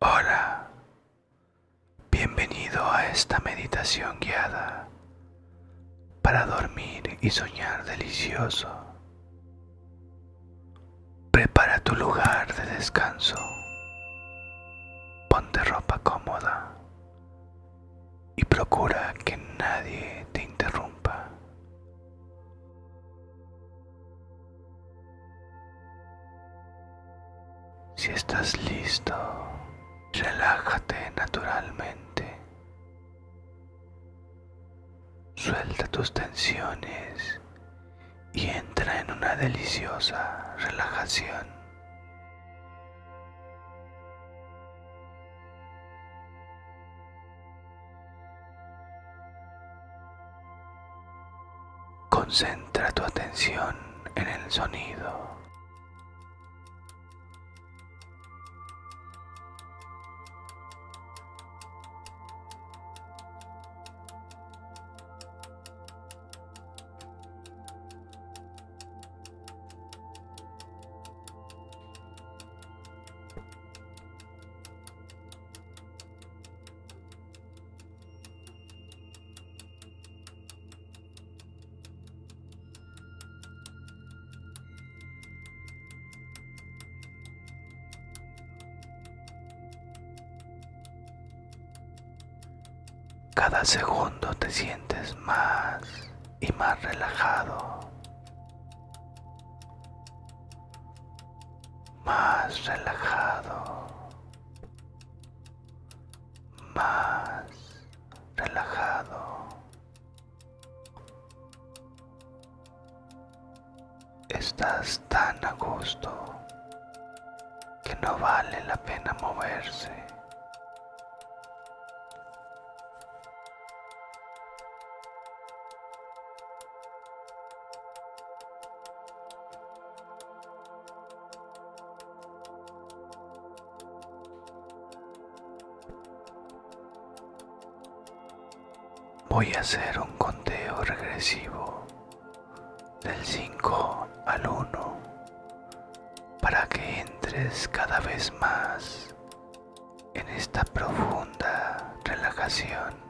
Hola, bienvenido a esta meditación guiada para dormir y soñar delicioso. Prepara tu lugar de descanso, ponte ropa cómoda y procura que nadie te interrumpa. Si estás listo, relájate naturalmente. Suelta tus tensiones y entra en una deliciosa relajación. Concentra tu atención en el sonido. Cada segundo te sientes más y más relajado más relajado, más relajado. Estás tan a gusto que no vale la pena moverse. Voy a hacer un conteo regresivo del 5 al 1 para que entres cada vez más en esta profunda relajación.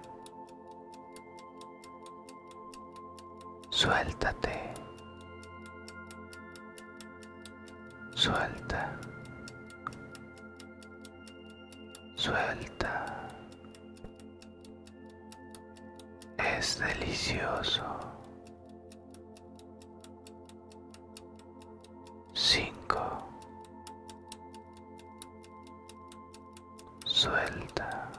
Suéltate. Suelta. Suelta. Es delicioso. Cinco. Suelta.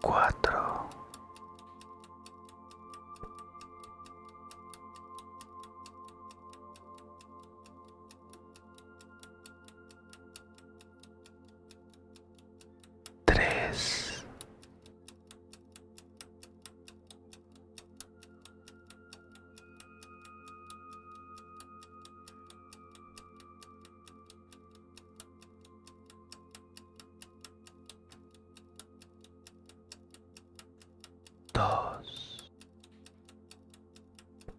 Cuatro tres dos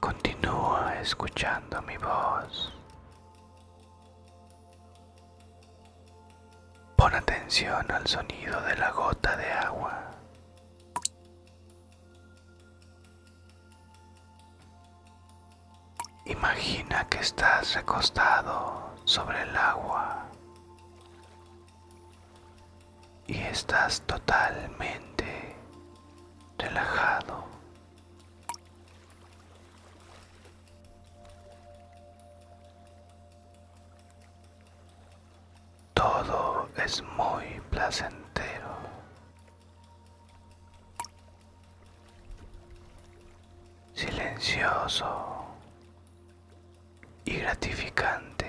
Continúa escuchando mi voz. Pon atención al sonido de la gota de agua. Imagina que estás recostado sobre el agua y estás totalmente relajado. Todo es muy placentero silencioso y gratificante.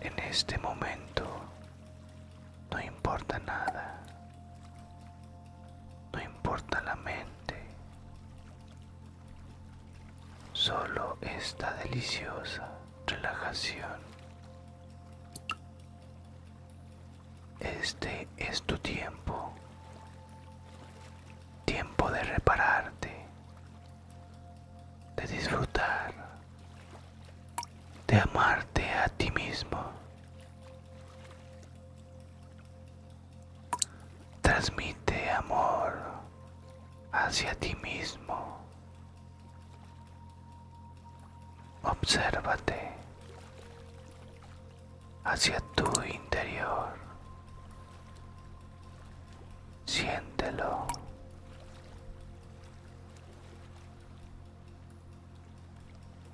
En este momento no importa nada, no importa la mente, solo esta deliciosa relajación. Este es tu tiempo, tiempo de repararte, de disfrutar, de amarte a ti mismo Transmite amor hacia ti mismo. Obsérvate hacia tu interior. Siéntelo.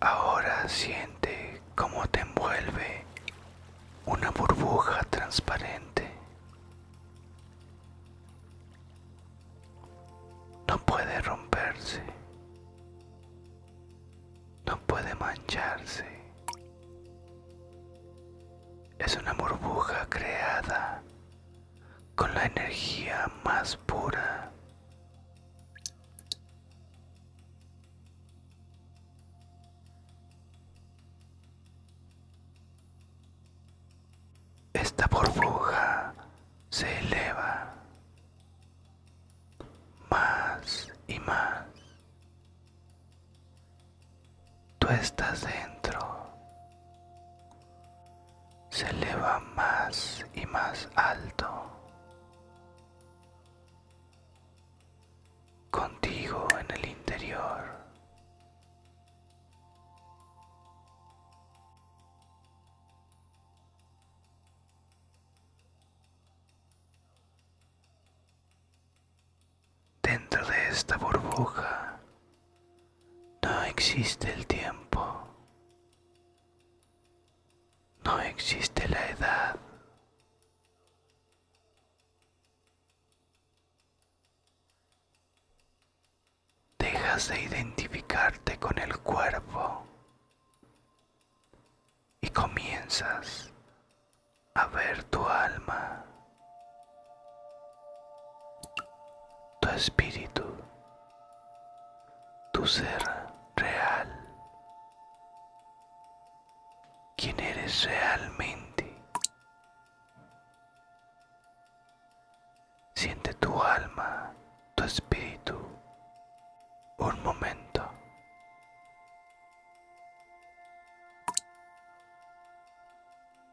Ahora siente cómo te envuelve una burbuja transparente. No puede romperse. No puede mancharse es una burbuja creada con la energía más pura. Esta burbuja se eleva más y más tú estás dentro, se eleva más y más alto. Contigo en el interior. Dentro de esta burbuja no existe el tiempo, no existe la edad. Dejas de identificarte con el cuerpo y comienzas a ver tu alma, tu espíritu, tu ser real, quién eres realmente. Siente tu alma, tu espíritu, un momento.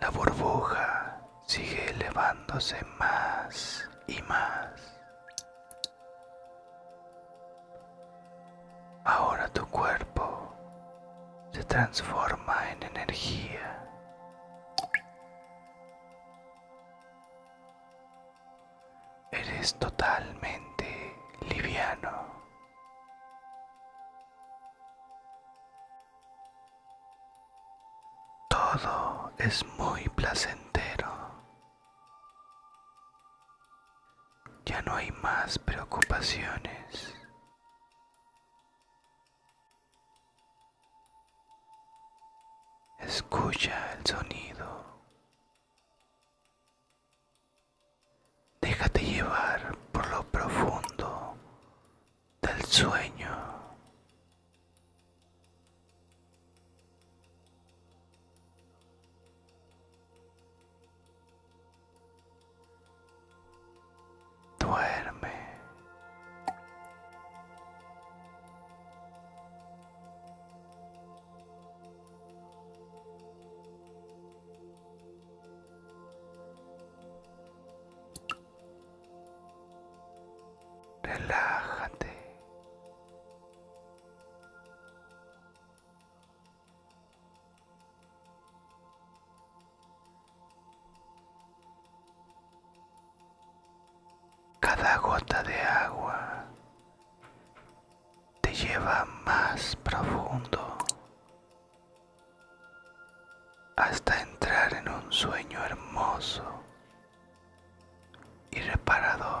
La burbuja sigue elevándose más y más. Ahora tu cuerpo se transforma en energía. Eres totalmente liviano. Todo es muy placentero. Ya no hay más preocupaciones. Escucha el sonido. Déjate llevar por lo profundo del sueño. Duerme. Relájate. Cada gota de agua te lleva más profundo hasta entrar en un sueño hermoso y reparador.